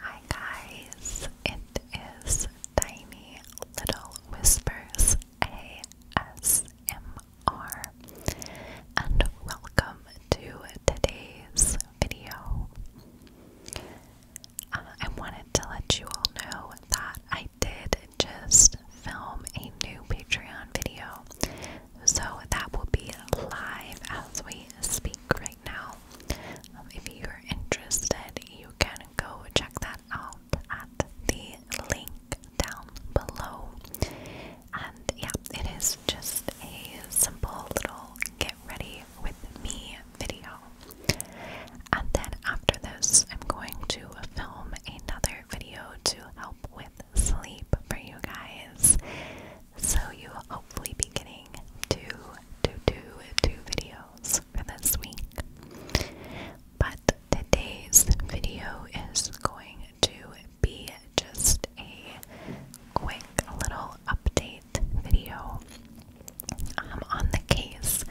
Hi guys, it is Tiny Little Whispers ASMR and welcome to today's video. Uh, I wanted to let you all know that I did just film a new Patreon video, so that will be live as we speak right now. Um, if you're interested, you can go check that out at the link down below. And yeah, it is just a simple little get ready with me video. And then after this, I'm going to film another video to help with sleep for you guys. So you will hopefully be getting two, two, two, two videos for this week. But today's video is going to be just a quick little update video um, on the case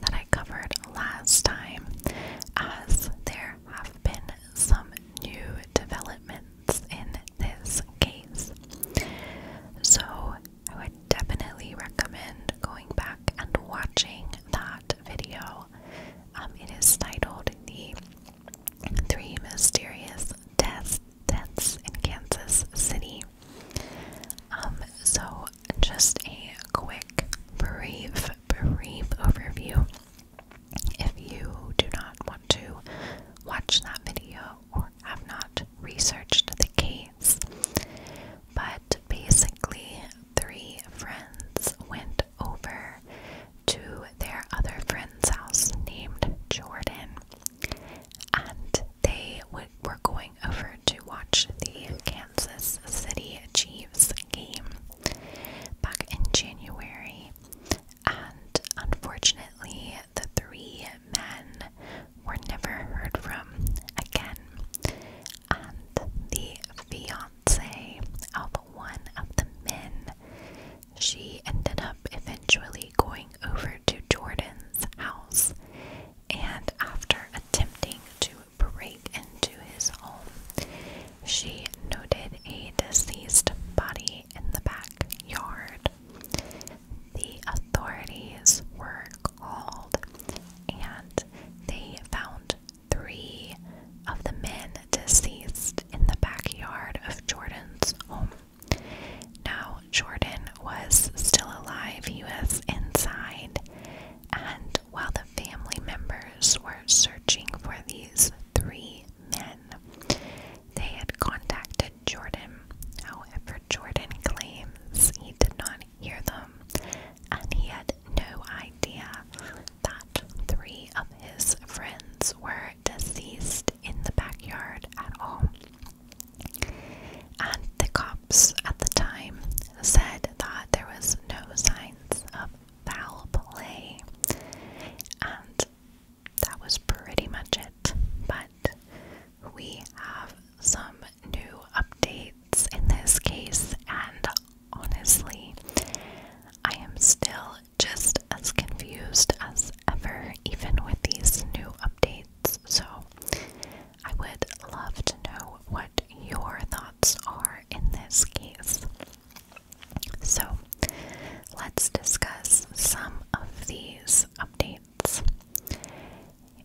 that I covered last time, as there have been some new developments in this case. So, I would definitely recommend going back and watching that video. Um, it is titled The Three Mysterious Deaths, Deaths in Kansas City. Um, so, just a quick, brief, brief overview if you do not want to watch that video or have not researched the case, but basically, three friends went over to their other friend's house named Jordan and they were going over to watch the Kansas City Chiefs game back in January and unfortunately, the three men were never heard from again. And the fiance of one of the men, she ended up eventually going over to Jordan's house and after attempting to break into his home, she noted a deceased body in the backyard. The authorities were called and they found three of the men deceased in the backyard of Jordan's home. Now, Jordan was still alive, he was inside, and while the family members were searching for these three men. They had contacted Jordan. However, Jordan claims he did not hear them and he had no idea that three of his friends were deceased in the backyard at all. And the cops at the time said that there was no signs of foul play. And that was pretty much it. But we have some new updates in this case, and honestly, I am still just as confused as ever, even with these new updates. So, I would love to know what your thoughts are in this case. So, let's discuss some of these updates.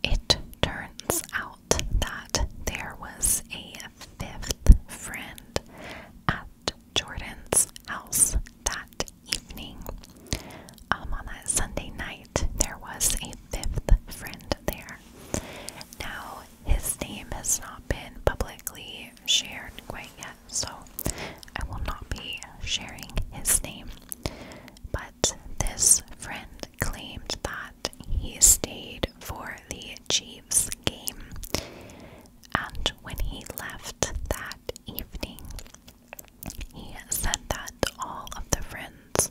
It turns out that there was a fifth friend at Jordan's house that evening. Um, on that Sunday night, there was a fifth friend there. Now, his name has not been publicly shared quite yet, so I will not be sharing his name. But this friend claimed that he stayed for the Chiefs game, and when he left that evening, he said that all of the friends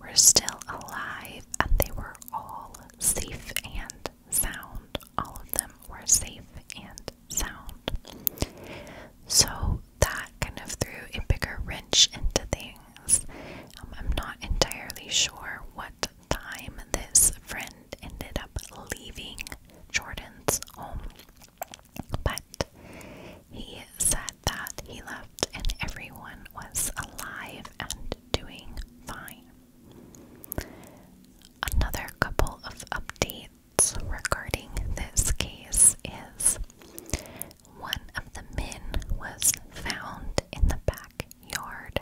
were still alive and they were all safe and sound. All of them were safe and sound. So that kind of threw a bigger wrench into things. Um, I'm not entirely sure what time this friend ended up leaving Jordan's home, but he said that he left and everyone was alive and doing fine. Another couple of updates regarding this case is one of the men was found in the backyard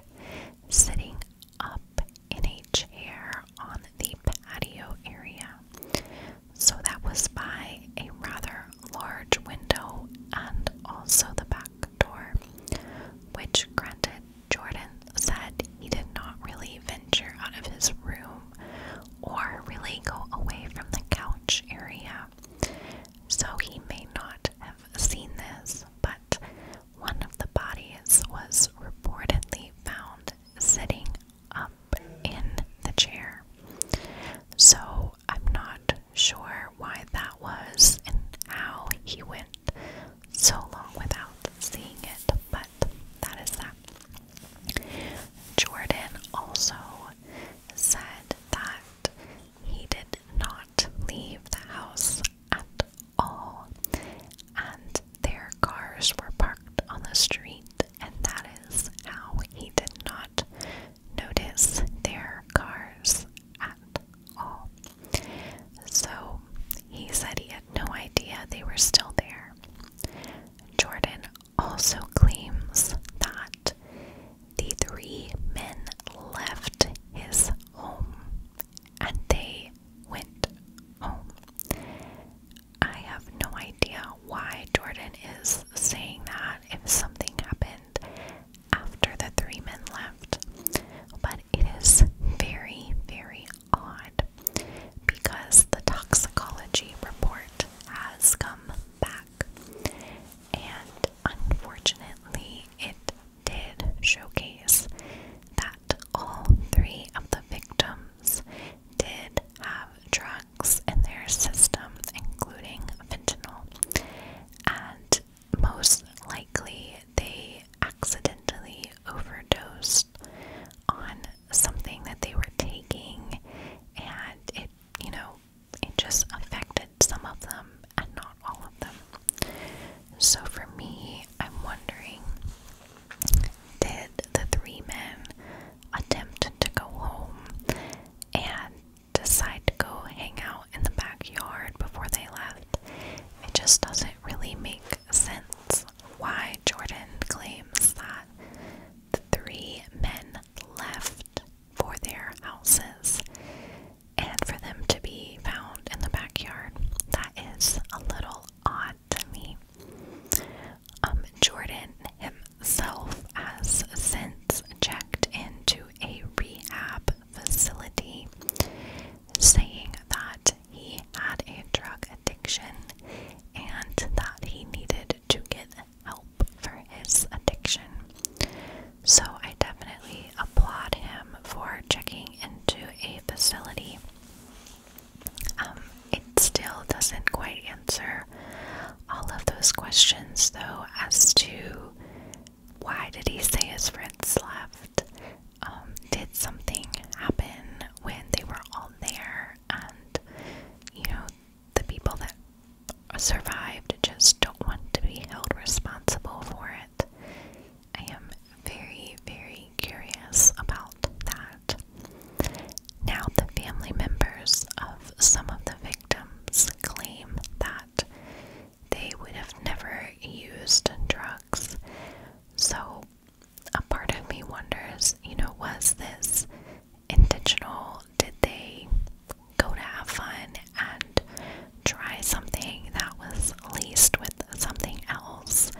sitting up in a chair on the patio area. So that was by a rather large window and also the back Condor, which granted Jordan said he did not really venture out of his room or really go away from the couch area. So he may not have seen this, but one of the bodies was reportedly found sitting up in the chair. So I'm not sure why that was and how he went so long without seeing it, but that is that. Jordan also said that he did not leave the house at all, and their cars were parked on the street, and that is how he did not notice their cars at all. So he said he had no idea they were still there. Jordan also claims that the three men left his home and they went home. I have no idea why Jordan is saying that if something happened after the three men left. But it is very, very odd because the toxicology report has come back, and unfortunately, it did showcase that all three of the victims did have drugs in their system, including fentanyl and most likely they accidentally overdosed on something that they were taking and it you know it just affected some of them and not all of them so for me i'm wondering did the three men attempt to go home and decide to go hang out in the backyard before they left. It just doesn't really make sense why Jordan claims that the three men left for their houses and for them to be found in the backyard. That is a little odd to me. Um, Jordan Self has since checked into a rehab facility, saying that he had a drug addiction and that he needed to get help for his addiction. So I definitely applaud him for checking into a facility. Um, it still doesn't quite answer all of those questions, though, as to why did he say his friends left? Um, did something happen when they were all there? And, you know, the people that survived just don't want to be held responsible for it. I am very, very curious about that. Now, the family members of some of the victims claim that they would have never used drugs. So, a part of me wonders you know, was this intentional? Did they go to have fun and try something that was laced with something else?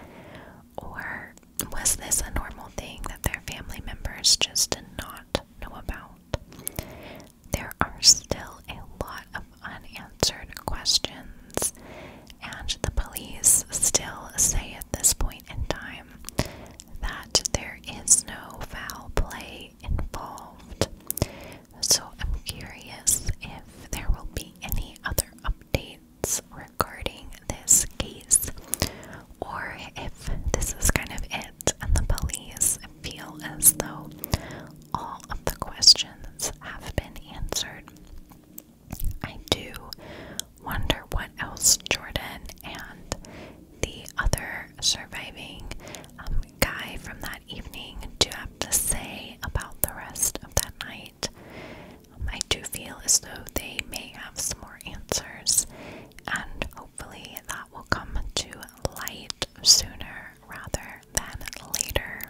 Or was this a normal thing that their family members just did not know about. There are still a lot of unanswered questions, and the police still say at this point in time that there is no foul play involved. So I'm curious if there will be any other updates regarding this case, or if this is kind of it and the police feel as though all of the questions have been answered. I do wonder what else Jordan and the other surviving um, guy from that evening do have to say about the rest of that night. Um, I do feel as though they may have some more answers and hopefully that will come to light sooner rather than later.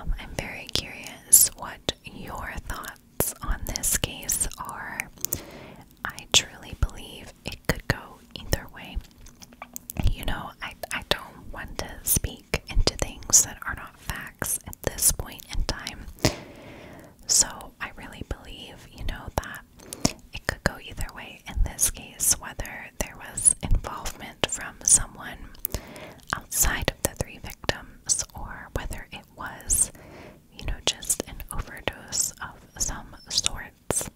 Um, I'm very curious what your thoughts on this case are. I truly believe it could go either way. You know, I, I don't want to speak into things that are not facts at this point in time. So I really believe, you know, that it could go either way in this case, whether there was involvement from someone outside of the three victims or whether it was, you know, just an overdose of some sorts.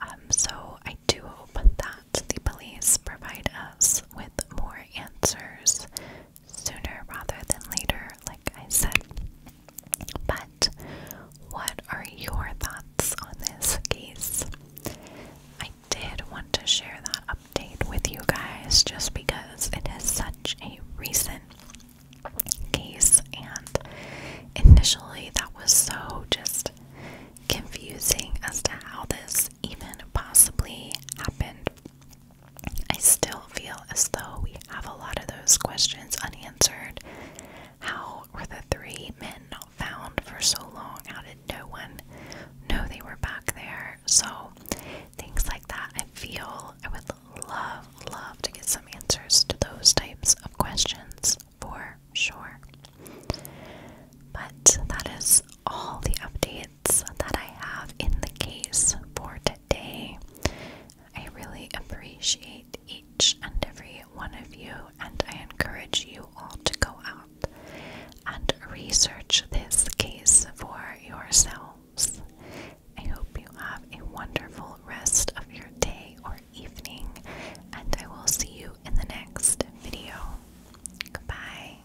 Um, so I do hope that the police provide us with more answers sooner rather than later, like I said. But what are your thoughts on this case? I did want to share that update with you guys just because it is such a recent case, and initially that was so just confusing as to how this even possibly happened I still feel as though we have a lot of those questions unanswered. How were the three men not found for so long? How did no one know they were back there? So, things like that, I feel I would love, love to get some answers to those types of questions for sure. But that is all the updates that I have in the case for today. I really appreciate each and every one of you, and I encourage you all to go out and research this case for yourselves. I hope you have a wonderful rest of your day or evening, and I will see you in the next video. Goodbye.